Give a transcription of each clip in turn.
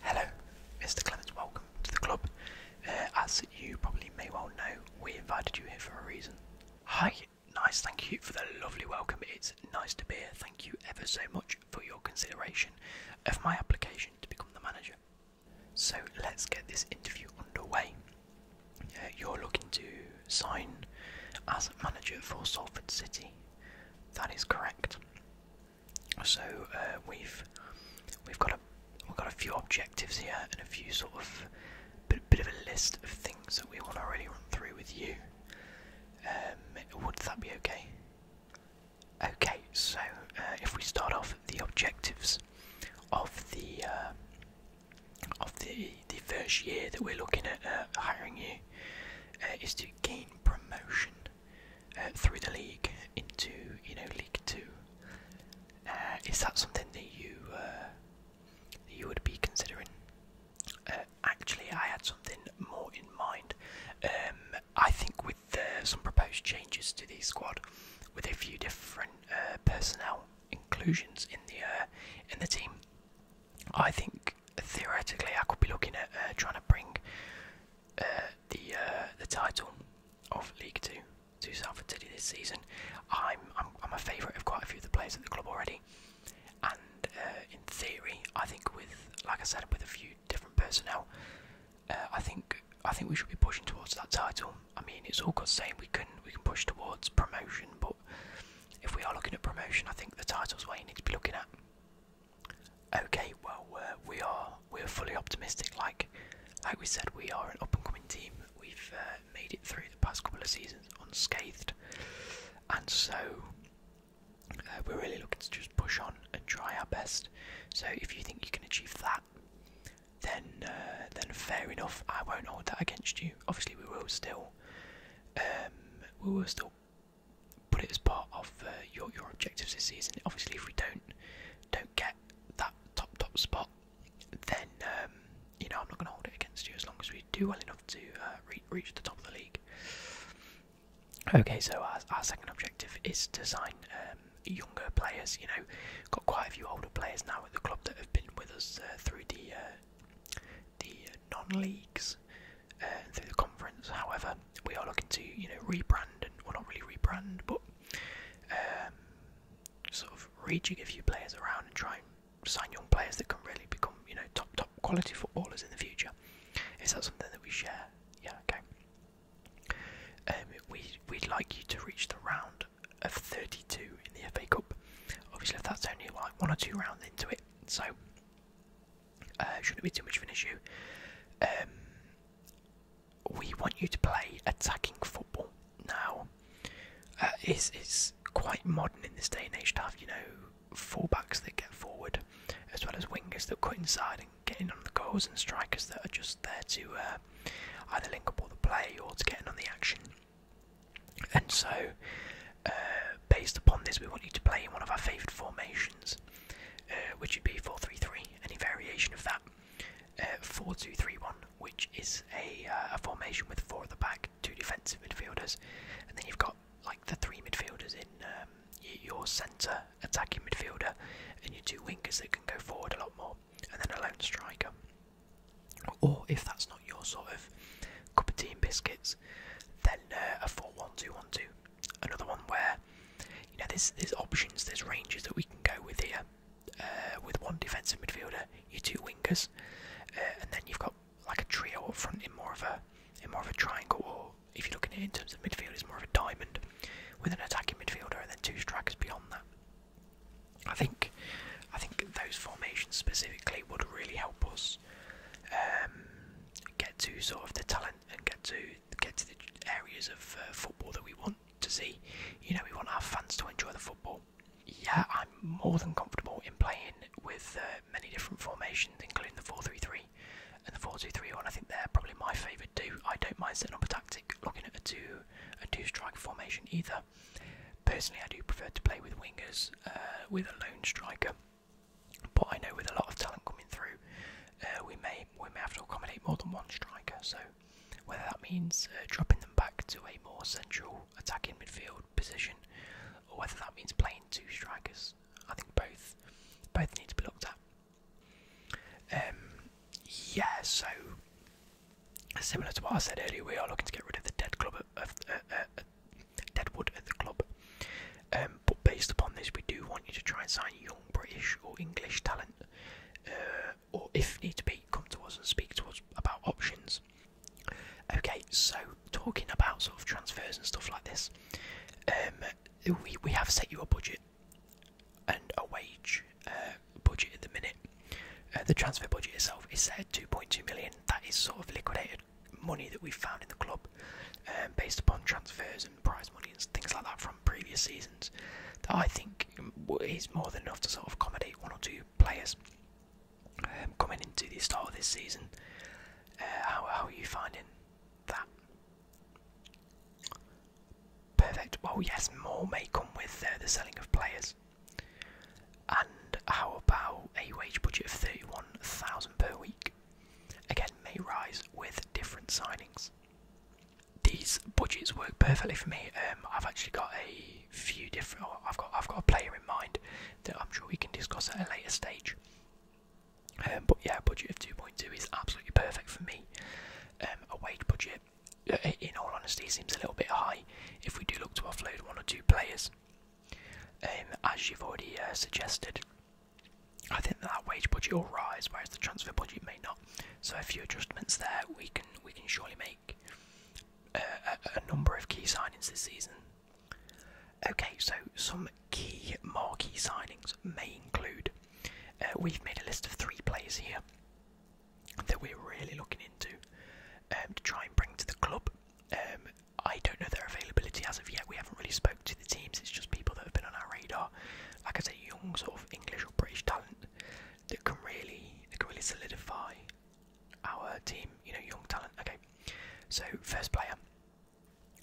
Hello, Mr. Clements, welcome to the club. Uh, as you probably may well know, we invited you here for a reason. Hi, nice, thank you for the lovely welcome. It's nice to be here. Thank you ever so much for your consideration of my application to become the manager. So let's get this interview underway. Uh, you're looking to sign as manager for Salford City. That is correct. So uh, we've we've got a we've got a few objectives here and a few sort of bit, bit of a list of things that we want to really run through with you. Um, would that be okay? Okay, so uh, if we start off the objectives of the uh, of the the first year that we're looking at hiring you is to gain promotion uh, through the league into you know League Two. Uh, is that something that you uh, you would be considering? actually, I had something more in mind. Um, I think with some proposed changes to the squad, with a few different personnel inclusions in the in the team, I think theoretically I could be looking at uh, trying to bring uh, the uh, the title of League Two to Salford City this season. I'm I'm, a favourite of quite a few of the players at the club already, and in theory I think with like I said with a few different personnel, I think I think we should be pushing towards that title. I mean it's all good saying we can we can push towards promotion, but if we are looking at promotion, I think the title is where you need to be looking at. Okay, well we are we're fully optimistic. Like like we said, we are an up and coming team. We've uh, made it through the past couple of seasons unscathed, and so uh, we're really looking to just push on and try our best. So if you think you can achieve that, then uh, then fair enough. I won't hold that against you. Obviously, we will still um, we will still put it as part of uh, your your objectives this season. Obviously, if we don't don't get that top top spot, then um, you know I'm not going to hold it against you as long as we do well enough to uh, reach the top of the league. Okay, so our, our second objective is to sign um, younger players. You know, got quite a few older players now at the club that have been with us uh, through the uh, the non-leagues. Uh, through the conference. However, we are looking to you know rebrand and we're not really rebrand, but um, sort of reaching a few players around and trying and sign young players that can really become you know top top quality footballers in the future. Is that something that we share? Yeah, okay. Um, we we'd like you to reach the round of 32 in the FA Cup. Obviously, if that's only like one or two rounds into it, so uh, shouldn't be too much of an issue. Um, we want you to play attacking football now. Uh, it's, it's quite modern in this day and age to have, you know, fullbacks that get forward, as well as wingers that cut inside and get in on the goals, and strikers that are just there to uh, either link up all the play or to get in on the action. And so, uh, based upon this, we want you to play in one of our favourite formations, uh, which would be four-three-three, any variation of that. Uh, four-two-three-one, which is a, formation with four at the back, two defensive midfielders, and then you've got like the three midfielders in um, your centre attacking midfielder and your two wingers that can go forward a lot more, and then a lone striker. Or if that's not your sort of cup of tea and biscuits, then uh, a four-one-two-one-two. Another one where, you know, there's, there's options, there's ranges that we can go with here. Uh, with one defensive midfielder, you two wingers, uh, and then you've got like a trio up front in more of a in more of a triangle, or if you're looking at it in terms of midfield, it's more of a diamond with an attacking midfielder and then two strikers beyond that. I think I think those formations specifically would really help us um, get to sort of the talent and get to get to the areas of uh, football that we want to see. You know, we want our fans to enjoy the football. Yeah, I'm more than comfortable in playing with uh, many different formations, including the 4-3-3 and the 4-2-3-1. I think they're probably my favourite too. I don't mind setting up a tactic, looking at a two a two strike formation either. Personally, I do prefer to play with wingers, uh, with a lone striker. But I know with a lot of talent coming through, uh, we may we may have to accommodate more than one striker. So whether that means uh, dropping them back to a more central attacking midfield position, or whether that means playing two strikers, I think both both need to be looked at. Um, yeah, so Similar to what I said earlier, we are looking to get rid of the dead club uh, of uh, uh, uh, deadwood at the club. Um, but based upon this, we do want you to try and sign young British or English talent, or if need be, come to us and speak to us about options. Okay, so talking about sort of transfers and stuff like this, um, we we have set you a budget and a wage budget at the minute. Uh, the transfer budget itself is set at 2.2 million. That is sort of liquidated money that we found in the club, um, based upon transfers and prize money and things like that from previous seasons. That I think is more than enough to sort of accommodate one or two players um, coming into the start of this season. Uh, how, are you finding that? Perfect. Well, yes, more may come with uh, the selling of players. And how about a wage budget of 31,000 per week? Again, may rise with different signings. These budgets work perfectly for me. Um, I've actually got a few different. Oh, I've got I've got a player in mind that I'm sure we can discuss at a later stage. Um, but yeah, a budget of 2.2 is absolutely perfect for me. Um, a wage budget uh, in all honesty, seems a little bit high if we do look to offload one or two players. Um, as you've already uh, suggested, I think that, wage budget will rise, whereas the transfer budget may not. So a few adjustments there. We can we can surely make uh, a, number of key signings this season. Okay, so some key marquee signings may include. we've made a list of three players here that we're really looking into um, to try and bring to the club. Um, I don't know their availability as of yet. We haven't really spoke to the teams. It's just people that have been on our radar. Like I say, young sort of English or British talent that can really that can really solidify our team. You know, young talent. Okay, so first player,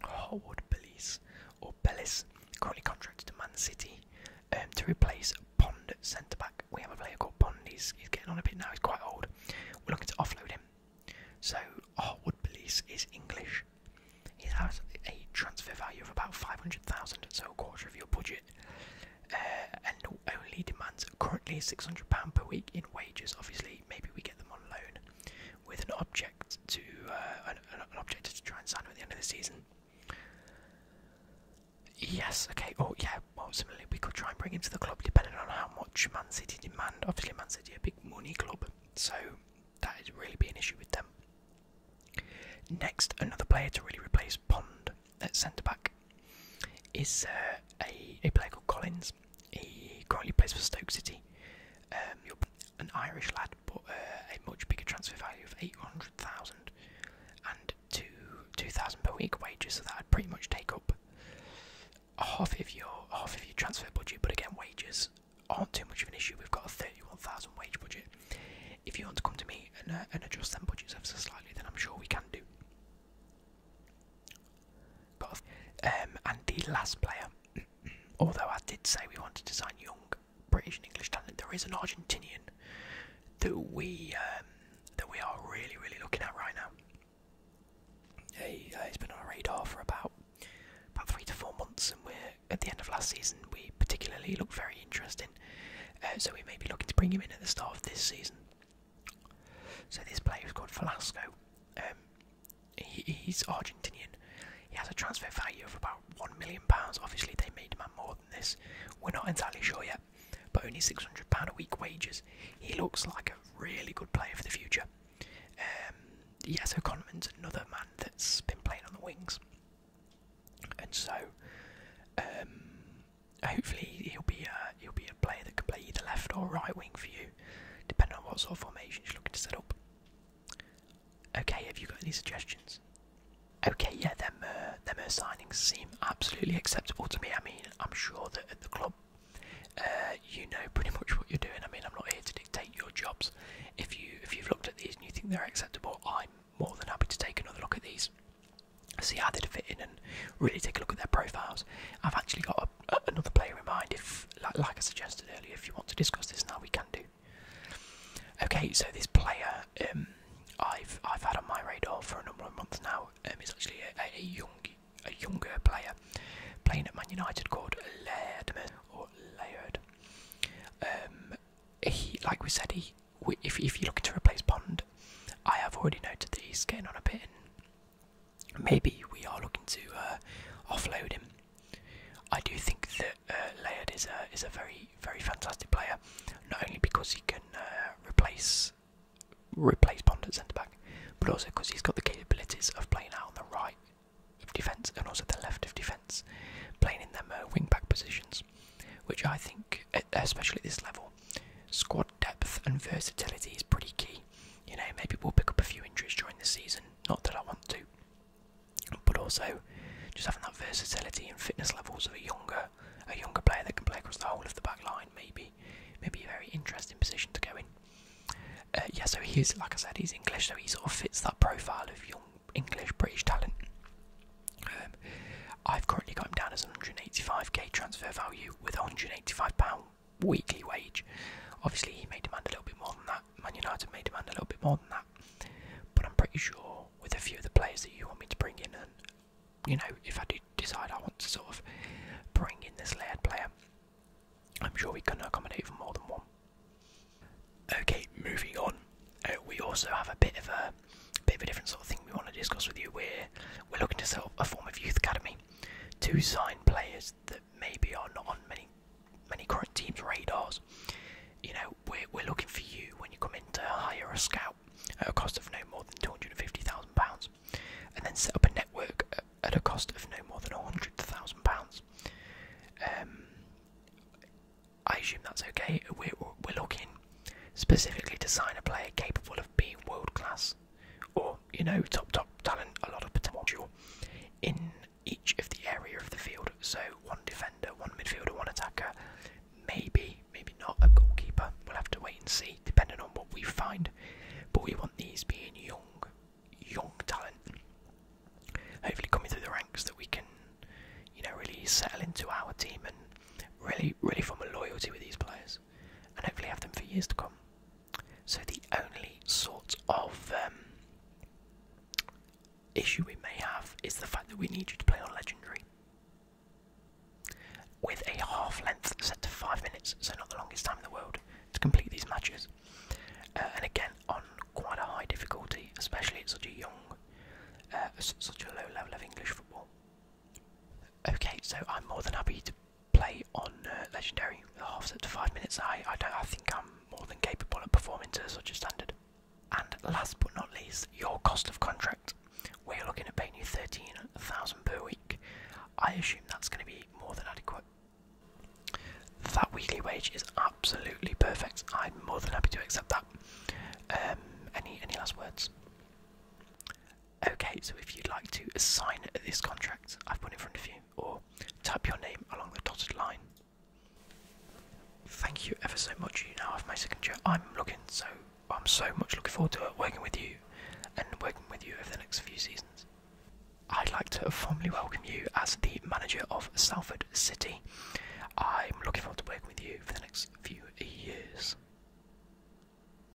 Howard Bellis or Bellis, currently contracted to Man City. Um, to replace Pond centre back. We have a player called Pond, he's, getting on a bit now, he's quite old. We're looking to offload him. So, Hartwood Police is English. He has a transfer value of about 500,000, so quarter of your budget, uh, and only demands currently £600 per week in wages. Obviously, maybe we get them on loan with an object to uh, an, an object to try and sign him at the end of the season. Yes, okay. Oh, yeah. Well, similarly, we could try and bring him to the club depending on how much Man City demand. Obviously, Man City a big money club, so that'd really be an issue with them. Next, another player to really replace Pond at centre back is uh, a, a player called Collins. He currently plays for Stoke City, um, an Irish lad but uh, a much bigger transfer value of 800,000 and 2,000 per week wages, so that would pretty much take up half of your half of your transfer budget. But again, wages aren't too much of an issue. We've got a 31,000 wage budget. If you want to come to me and, uh, and adjust them budgets ever so slightly, then I'm sure we can do. um, and the last player, although I did say we wanted to sign Young, British and English talent. There is an Argentinian that we um, that we are really really looking at right now. He, has uh, been on our radar for about about three to four months, and we at the end of last season. We particularly looked very interesting, uh, so we may be looking to bring him in at the start of this season. So this player is called Velasco. Um, he's Argentinian. He has a transfer value of about £1 million. Obviously, they may demand more than this. We're not entirely sure yet, but only £600 a week wages. He looks like a really good player for the future. Um, yeah, so another man that's been playing on the wings. And so, um, hopefully, he'll be, he'll be a player that can play either left or right wing for you, depending on what sort of formation you're looking to set up. Okay, have you got any suggestions? Okay, yeah, them uh, them uh, signings seem absolutely acceptable to me. I mean, I'm sure that at the club, uh, you know pretty much what you're doing. I mean, I'm not here to dictate your jobs. If you if you've looked at these and you think they're acceptable, I'm more than happy to take another look at these, see how they'd fit in, and really take a look at their profiles. I've actually got another player in mind. If like I suggested earlier, if you want to discuss this now, we can do. Okay, so this player um, I've I've had on my radar for a number of months now. Um, is actually a, a, a young younger player playing at Man United called Laird or Laird. Um, he like we said he if if you're looking to replace Pond, I have already noted that he's getting on a bit. and Maybe we are looking to uh, offload him. I do think that uh, is a is a very very fantastic player, not only because he can uh, replace replace Bond at centre back, but also because he's got the capabilities of playing out on the right of defence and also the left of defence, playing in them uh, wing back positions, which I think, especially at this level, squad depth and versatility is pretty key. You know, maybe we'll pick up a few injuries during the season. Not that I want to, but also just having that versatility and fitness levels of a younger a younger player that can play across the whole of the back line maybe maybe a very interesting position to go in. Uh, yeah, so he's like I said, he's English, so he sort of fits that profile of young English British talent. Um, I've currently got him down as 185k transfer value with 185 pound weekly wage. Obviously, he may demand a little bit more than that. Man United may demand a little bit more than that. But I'm pretty sure with a few of the players that you want me to bring in, and you know, if I do decide I want to sort of bring in this layered player, I'm sure we can accommodate for more than one. Okay, moving on. Uh, we also have a bit of a bit of a different sort of thing we want to discuss with you. We're we're looking to set up a form of youth academy to sign players that maybe are not on many many current teams' radars. You know, we're we're looking for you when you come in to hire a scout at a cost of no more than two hundred and fifty thousand pounds, and then set up a network at, a cost of no more than hundred thousand pounds. Um, I assume that's okay. We're we're looking specifically to sign a player capable of being world class, or you know top top talent, a lot of potential in each of the area of the field. So one defender, one midfielder, one attacker, maybe maybe not a goalkeeper. We'll have to wait and see, depending on what we find. But we want these being young, young talent. Hopefully coming through the ranks that we can, you know, really settle into our team and really really form a loyalty with these players, and hopefully have them for years to come. So the only sort of um, issue we may have is the fact that we need you to play on legendary with a half length set to five minutes, so not the longest time in the world to complete these matches, uh, and again on quite a high difficulty, especially at such a young, uh, such a low level of English football. Okay, so I'm more than happy to play on uh, legendary halves up to five minutes. I I don't I think I'm more than capable of performing to such a standard. And last but not least, your cost of contract. We're looking at paying you thirteen thousand per week. I assume that's going to be more than adequate. That weekly wage is absolutely perfect. I'm more than happy to accept that. Um, any any last words? Okay, so if you'd like to sign this contract, I've put it in front of you, or type your name along the dotted line. Thank you ever so much. You now have my signature. I'm looking so I'm so much looking forward to working with you and working with you over the next few seasons. I'd like to formally welcome you as the manager of Salford City. I'm looking forward to working with you for the next few years.